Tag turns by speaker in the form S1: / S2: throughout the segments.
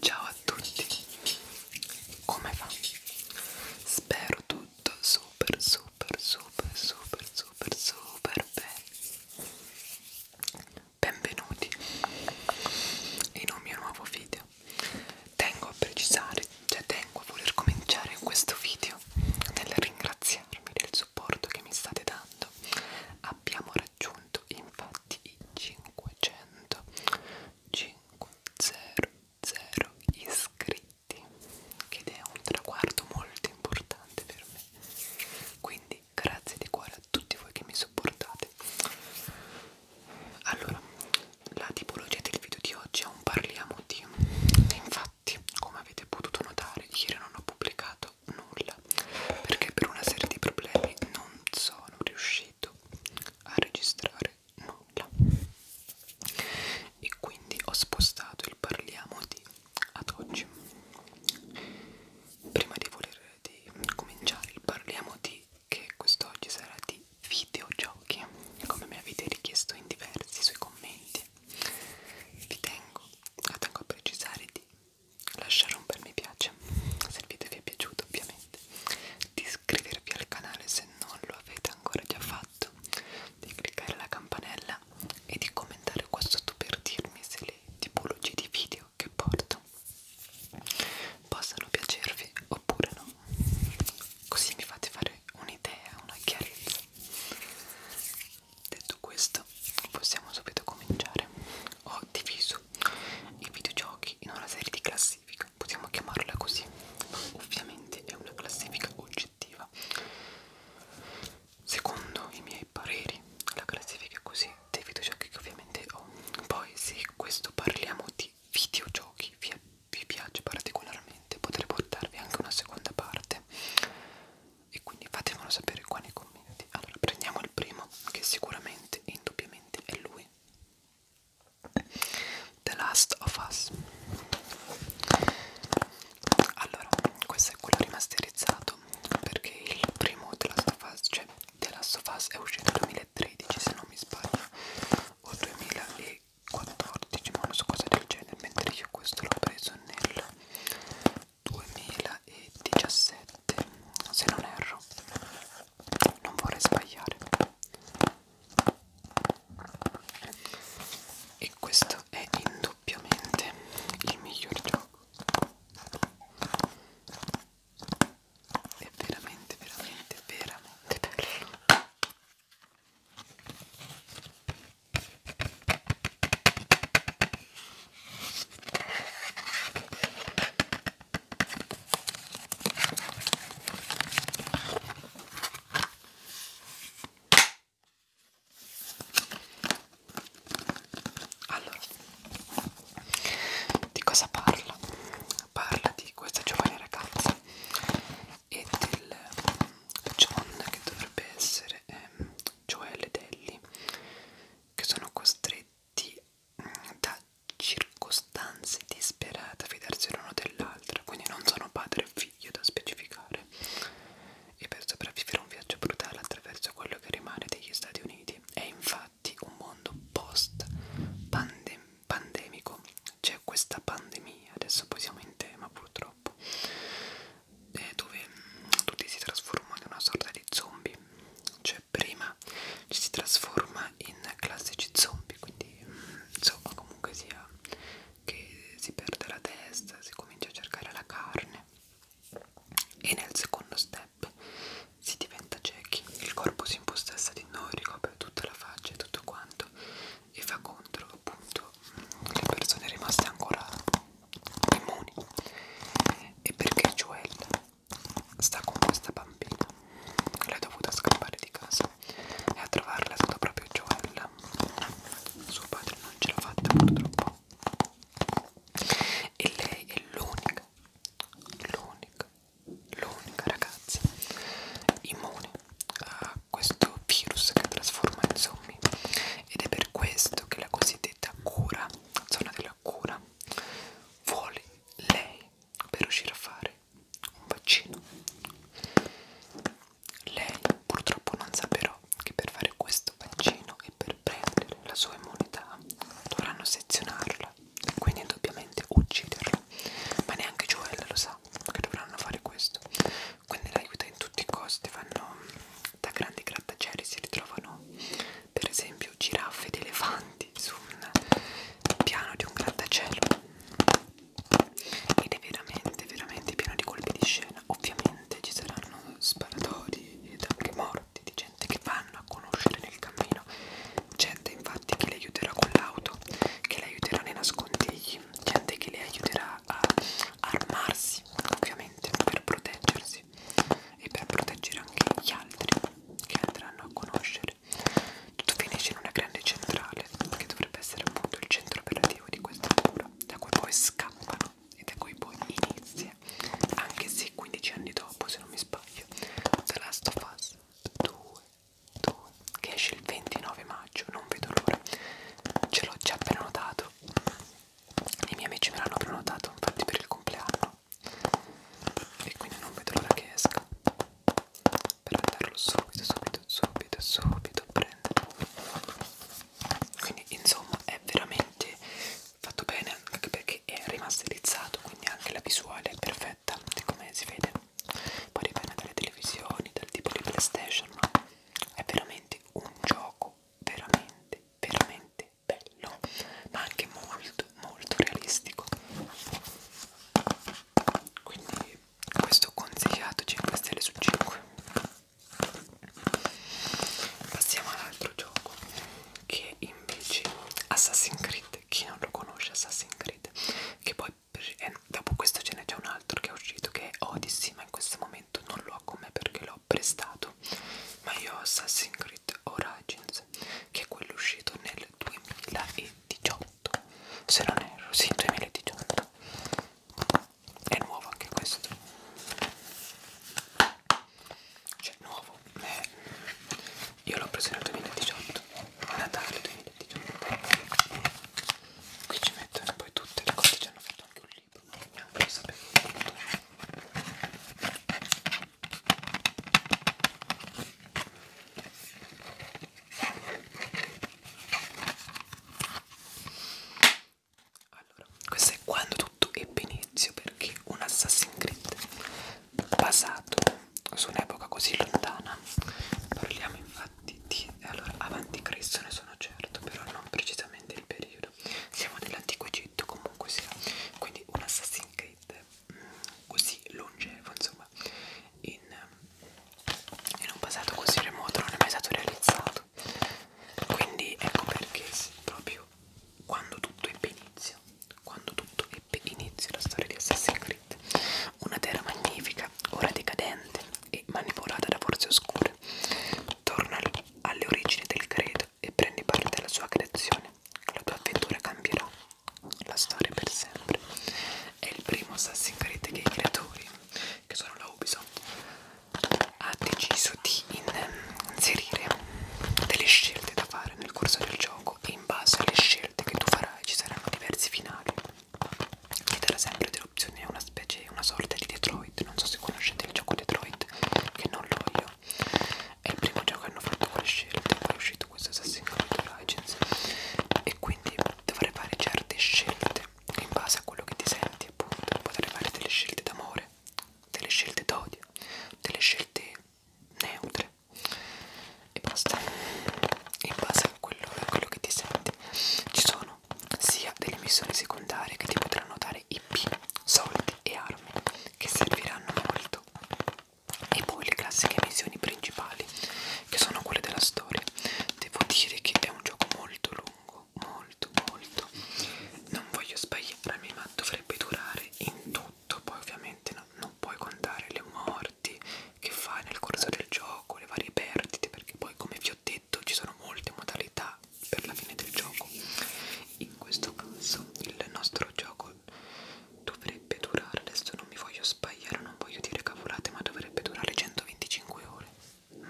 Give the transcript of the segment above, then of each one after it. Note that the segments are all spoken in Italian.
S1: Ciao a tutti, come va? Spero tutto super super super super super super bene. Benvenuti in un mio nuovo video. Tengo a precisare, cioè tengo a voler cominciare questo video nel ringraziarmi del supporto che mi state dando abbiamo raggiunto infatti i 500 500 iscritti ed è un traguardo molto importante per me quindi grazie di cuore a tutti voi che mi supportate allora la tipologia del video di oggi è un parliamo di infatti come avete potuto notare ieri non ho pubblicato fatto nulla perché per una serie di problemi non sono riuscito a registrare nulla e quindi ho spostato il parliamo di ad oggi prima di voler di cominciare il parliamo di che quest'oggi sarà di videogiochi come me avete richiesto in diversi sui commenti vi tengo, la tengo a precisare di lasciare un bel mi piace se il video vi è piaciuto ovviamente di iscrivervi al canale se non lo avete ancora già fatto di cliccare la campanella e di commentare qua sotto per dirmi se le tipologie di video che porto possano piacervi oppure no così mi fate fare un'idea, una chiarezza detto questo possiamo subito cominciare ho diviso i videogiochi in una serie di classifiche possiamo chiamarla così ma ovviamente è una classifica oggettiva secondo i miei pareri la classifica è così dei videogiochi che ovviamente ho poi se questo parliamo di videogiochi vi, vi piace particolarmente potrei portarvi anche una seconda parte e quindi fatemelo sapere qua nei commenti. Allora prendiamo il primo che sicuramente e indubbiamente è lui. The Last of Us. Allora, questo è quello rimasterizzato perché il primo The Last of Us, cioè The Last of Us è uscito nel 2013 se non mi sbaglio o 2014, ma non so cosa del genere, mentre io questo l'ho preso nel 2017 se non erro non vorrei sbagliare e questo è indubbiamente il miglior gioco è veramente veramente veramente bello allora, di cosa parla? Parla di questa giovane ragazza e del John che dovrebbe essere eh, Joel e Ellie che sono costretti di, eh, da circostanze disperate a fidarsi l'uno dell'altra, quindi non sono padre e figlio da specificare. E per sopravvivere a un viaggio brutale attraverso quello che rimane degli Stati Uniti è infatti un mondo post-pandemico. Pandem C'è questa pandemia, adesso poi siamo in tema purtroppo, eh, dove mm, tutti si trasformano in una sorta di zombie. C'è cioè, cioè prima ci si trasforma in classici zombie quindi mm, insomma comunque sia che si perde la testa si comincia a cercare la carne e nel secondo step si diventa ciechi il corpo si impossessa di noi ricopre tutta la faccia e tutto quanto e fa contro appunto mm, le persone rimaste ancora immuni e perché Joel sta con questa bambina l'ha dovuta scappare di casa e a trovarla è stato proprio Joel suo padre non ce l'ha fatta purtroppo e lei è l'unica l'unica l'unica ragazza immune a questo virus che trasforma in zombie ed è per questo che la cosiddetta cura zona della cura vuole lei per riuscire a fare un vaccino. Lei purtroppo non sa però che per fare questo vaccino e per prendere la sua immunità dovranno sezionarla, quindi indubbiamente ucciderla. Ma neanche Joel lo sa che dovranno fare questo. Quindi l'aiuta in tutti i costi, vanno da grandi grattacieli, si ritrovano per esempio o giraffe ed elefanti su un piano di un grattacielo ed è veramente veramente pieno di colpi di scena ovviamente ci saranno sparatori ed anche morti di gente che vanno a conoscere nel cammino gente infatti che le aiuterà con l'auto che le aiuterà nei nascondigli gente che le aiuterà a armarsi ovviamente per proteggersi stessi e per proteggere anche gli altri che andranno a conoscere. Tutto finisce in una grande centrale che dovrebbe essere appunto il centro operativo di questa cura, da cui poi scappano e da cui poi inizia, anche se 15 anni dopo, se non mi sbaglio, The Last of Us 2, 2 che esce il 29 maggio, non vedo l'ora, ce l'ho già prenotato, i miei amici me l'hanno prenotato infatti per il compleanno e quindi non vedo l'ora che esca per andarlo subito subito subito subito a prendere quindi insomma è veramente fatto bene anche perché è rimasterizzato quindi anche la visuale è perfetta come si vede poi dipende dalle televisioni dal tipo di playstation no? è veramente un gioco veramente veramente bello ma anche molto molto realistico quindi questo consigliato 5 stelle su 5 passiamo all'altro gioco che invece Assassin's Creed chi non lo conosce Assassin's Creed che poi eh, dopo questo ce n'è già un altro che è uscito che è Odyssey ma in questo momento non lo ho con me perché l'ho prestato ma io Assassin's Creed Street Origins che è quello uscito nel 2018 se non erro, sì 2018 è nuovo anche questo cioè nuovo eh, io l'ho preso nel 2018 Natale 2018 qui ci mettono poi tutte le cose ci hanno fatto anche un libro neanche lo sapevo tutto allora, questo è quando tutto ebbe inizio perché un Assassin's Creed basato su un'epoca così lontana. Parliamo infatti di allora avanti Cristo ne sono certo, però non precisamente il periodo. Siamo dell'antico Egitto comunque sia. Quindi un Assassin's Creed così longevo insomma in, in un passato così remoto non è mai stato realizzato quindi ecco perché proprio quando tutto ebbe inizio quando tutto ebbe inizio la storia di Assassin's Creed una terra magnifica ora decadente e manipolata da forze oscure torna alle origini del credo e prendi parte alla sua creazione. La tua avventura cambierà la storia per sempre. È il primo Assassin's Creed che i creatori, che sono la Ubisoft, ha deciso di inserire delle scelte da fare nel corso del gioco e in base alle scelte che tu farai ci saranno diversi finali. Ti darà sempre delle opzioni, è una specie, una sorta di Detroit. Non so se conoscete il gioco Detroit, che non lo voglio. È il primo gioco che hanno fatto quelle scelte, poi è uscito questo Assassin's Creed Origins e quindi dovrei fare certe scelte in base a quello che ti senti appunto, potrei fare delle scelte d'amore, delle scelte d'odio, delle scelte neutre e basta, in base a quello, a quello che ti senti. Ci sono sia delle missioni secondarie che ti potranno dare IP, soldi e armi che serviranno molto e poi le classiche missioni principali che sono quelle della storia devo dire che è un gioco molto lungo molto molto non voglio sbagliarmi ma dovrebbe durare in tutto poi ovviamente no, non puoi contare le morti che fai nel corso del gioco le varie perdite perché poi come vi ho detto ci sono molte modalità per la fine del gioco in questo caso il nostro gioco dovrebbe durare, adesso non mi voglio sbagliare, non voglio dire cavolate, ma dovrebbe durare 125 ore.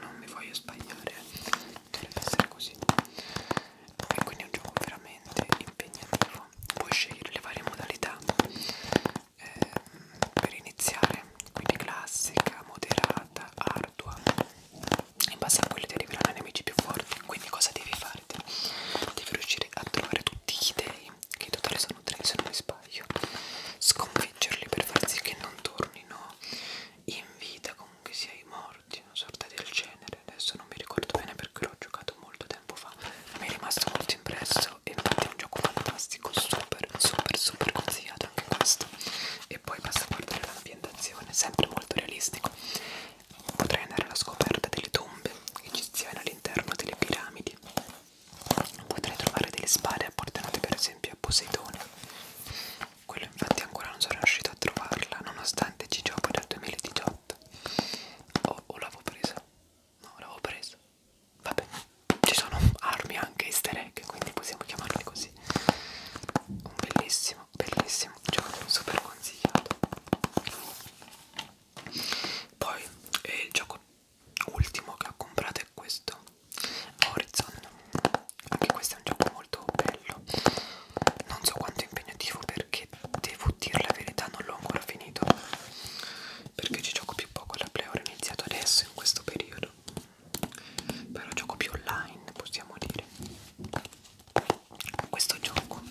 S1: Non mi voglio sbagliare, eh. dovrebbe essere così. E quindi è un gioco veramente impegnativo. Puoi scegliere le varie modalità eh, per iniziare, quindi classica, moderata, ardua. In base a quelli ti arriveranno nemici più forti. Quindi cosa devi fare? Devi riuscire riuscire a trovare tutti gli dei, che in totale sono tre se non mi sbaglio, sconfiggerli per far sì che non tornino in vita, comunque sia i morti, una sorta del genere, adesso non mi ricordo bene perché l'ho giocato molto tempo fa, mi è rimasto molto impresso e infatti è un gioco fantastico, super, super, super consigliato anche questo. E poi basta guardare l'ambientazione, sempre molto realistico potrei andare alla scoperta delle tombe egiziane all'interno delle piramidi potrei trovare delle spade appartenute per esempio a Poseidone quello infatti ancora non sono riuscito a trovarla nonostante ci gioco dal 2018 o, o l'avevo presa no l'avevo presa vabbè ci sono armi anche easter egg quindi possiamo chiamarli così un bellissimo bellissimo gioco super consigliato poi eh, il gioco ultimo che ho comprato è questo, Horizon. Anche questo è un gioco molto bello. Non so quanto è impegnativo perché devo dire la verità, non l'ho ancora finito. Perché ci gioco più poco alla play, ho iniziato adesso in questo periodo. Però gioco più online, possiamo dire. Questo gioco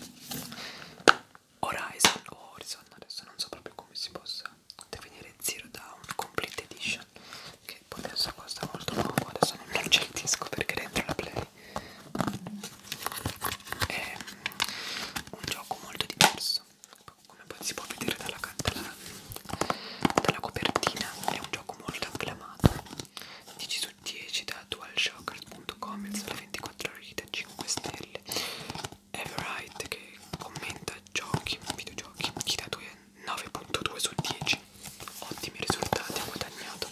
S1: Horizon o Horizon, adesso non so proprio come si possa definire Zero Down Complete Edition che poi adesso costa molto poco, adesso non c'è il disco perché dentro la play è un gioco molto diverso come poi si può vedere dalla, dalla, dalla copertina è un gioco molto acclamato 10 su 10 da DualShockers.com il sole 24 ore di preferite 5 stelle Everite che commenta giochi, videogiochi chi da 9.2 su 10 ottimi risultati ha guadagnato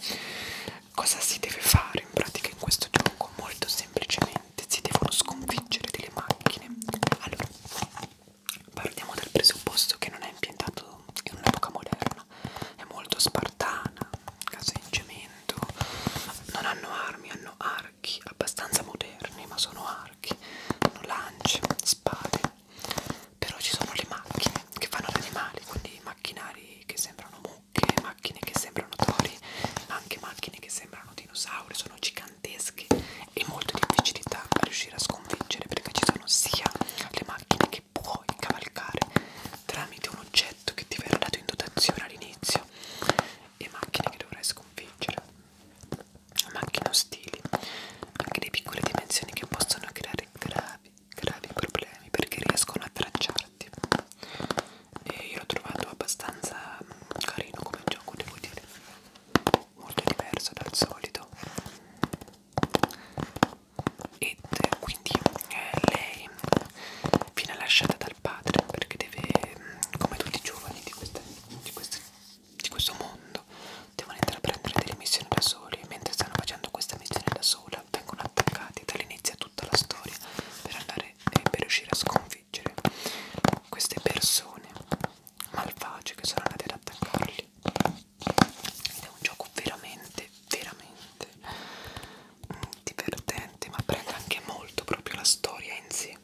S1: cosa si deve fare in pratica in questo gioco? molto semplicemente si devono sconfiggere delle macchine allora partiamo dal presupposto che non è ambientato in un'epoca moderna è molto spartana case in cemento non hanno armi hanno archi abbastanza moderni ma sono archi hanno lance spade però ci sono le macchine che fanno gli animali quindi macchinari che sembrano mucche macchine che sembrano tori ma anche macchine che sembrano dinosauri sono gigantesche e molto difficili da riuscire a sconfiggere perché ci sono sia le macchine che puoi cavalcare tramite un oggetto che ti verrà dato in dotazione all'inizio e macchine che dovrai sconfiggere, macchine ostili, anche di piccole dimensioni che possono creare gravi, gravi problemi perché riescono a tracciarti. E io l'ho trovato abbastanza mm, carino come gioco, devo dire, molto diverso dal solito. Ed eh, quindi eh, lei viene lasciata dal padre perché deve, mm, come tutti i giovani di, queste, di, queste, di questo mondo, devono intraprendere delle missioni da soli e mentre stanno facendo questa missione da sola vengono attaccati dall'inizio tutta la storia per andare e eh, per riuscire a sconfiggere queste persone malvagie che sono andate ad attaccarli ed è un gioco veramente veramente divertente ma prende anche molto proprio la storia in sé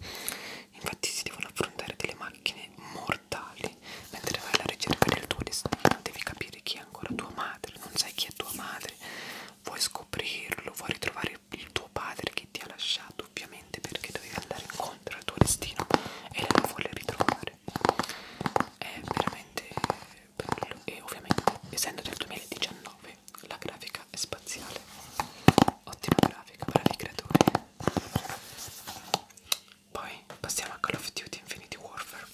S1: infatti si devono affrontare delle macchine mortali mentre vai alla ricerca del tuo destino devi capire chi è ancora tua madre non sai chi è tua madre vuoi scoprirlo vuoi ritrovare il tuo padre che ti ha lasciato ovviamente perché dovevi andare incontro al tuo destino e lei lo vuole ritrovare è veramente bello e ovviamente essendo del 2019 nuovi la grafica è spaziale ottima grafica bravi creatori poi passiamo a Call of Duty Infinity Warfare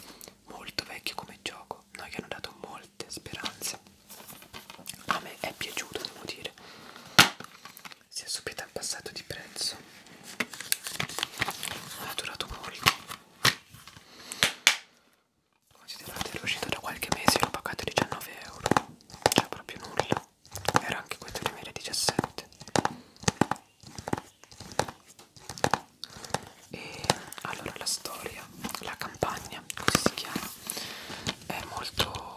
S1: molto vecchio come gioco noi che hanno dato molte speranze a me è piaciuto devo dire si è subito abbassato di prezzo ha durato molto Considerate ero uscito da qualche mese e l'ho pagato 19 euro. Cioè proprio nulla. Era anche questo 2017. E allora la storia, la campagna, così si chiama, è molto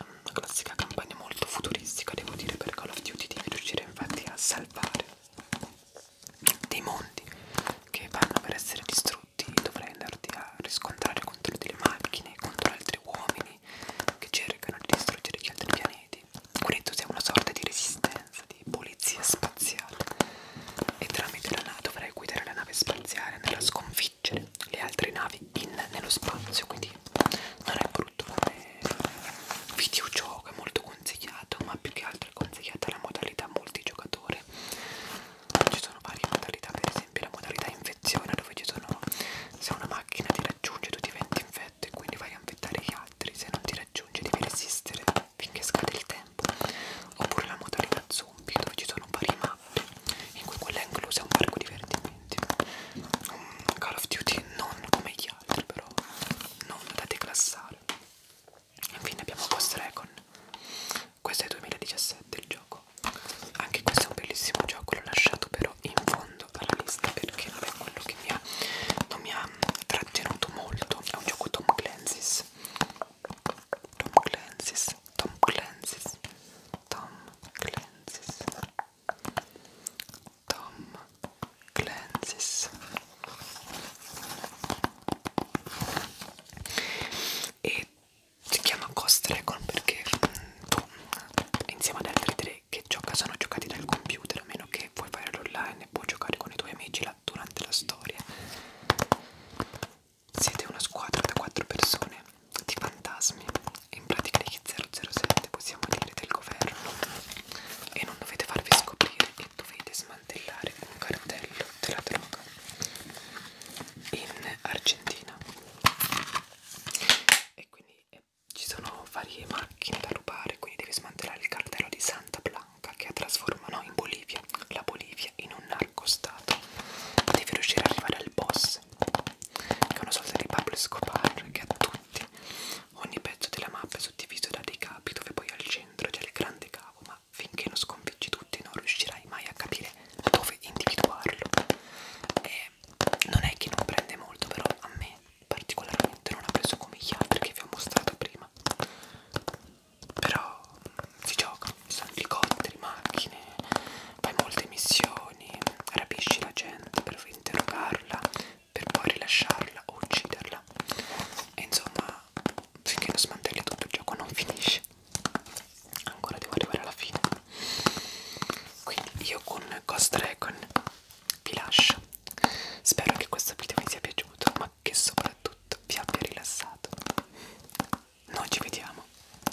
S1: una classica campagna molto futuristica, devo dire, per Call of Duty devi riuscire infatti a salvare dei mondi che vanno per essere distrutti distrutti dovrai andarti a riscontrare contro delle macchine, contro altri uomini che cercano di distruggere gli altri pianeti quindi tu sei una sorta di resistenza, di polizia spaziale e tramite la nave dovrai guidare la nave spaziale andare a sconfiggere le altre navi in, nello spazio quindi non è brutto come videogioco, è molto consigliato ma più che altro è consigliata la modalità multigiocatore ci sono varie modalità per esempio la modalità infezione dove ci sono se una macchina ti raggiunge tu diventi infetto e quindi vai a infettare gli altri se non ti raggiunge devi resistere finché scade il tempo oppure la modalità zombie dove ci sono varie mappe in cui quella è inclusa un parco divertimenti um, Call of Duty non come gli altri però non da declassare infine abbiamo Ghost Recon questo è 2017 il gioco anche questo è un bellissimo gioco l'ho lasciato però in fondo alla lista perché non è quello che mi ha non mi ha trattenuto molto è un gioco Tom Clancy's Tom Clancy's Tom Clancy's Tom Clancy's Tom Clancy's e si chiama Ghost Recon perché mm, tu insieme ad altri tre che gioca sono giocati dal computer a meno che puoi fare l'online e puoi giocare con i tuoi amici là, durante la storia siete una squadra da quattro persone di fantasmi in pratica di 007 possiamo dire del governo e non dovete farvi scoprire e dovete smantellare un cartello della droga in Argentina e quindi eh, ci sono varie macchine da rubare quindi devi smantellare il cartello di Santa Blanca che trasformano in Bolivia la Bolivia in un narcostato devi riuscire ad arrivare al boss che è una sorta di Pablo Escobar che ha tutti ogni pezzo della mappa è suddiviso da dei capi dove poi al centro c'è il grande cavo ma finché non sconfiggi tutti non riuscirai mai a capire dove individuarlo e non è che non prende molto però a me particolarmente non ha preso come gli altri che vi ho mostrato prima però si gioca ci sono elicotteri, macchine fai molte missioni rapisci la gente per interrogarla per poi rilasciarla o ucciderla e insomma finché non smantelli tutto il gioco non finisce ancora devo arrivare alla fine quindi io con Ghost Dragon vi lascio spero che questo video vi sia piaciuto ma che soprattutto vi abbia rilassato noi ci vediamo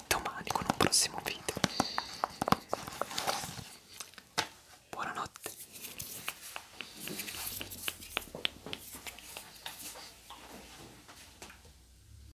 S1: domani con un prossimo video buonanotte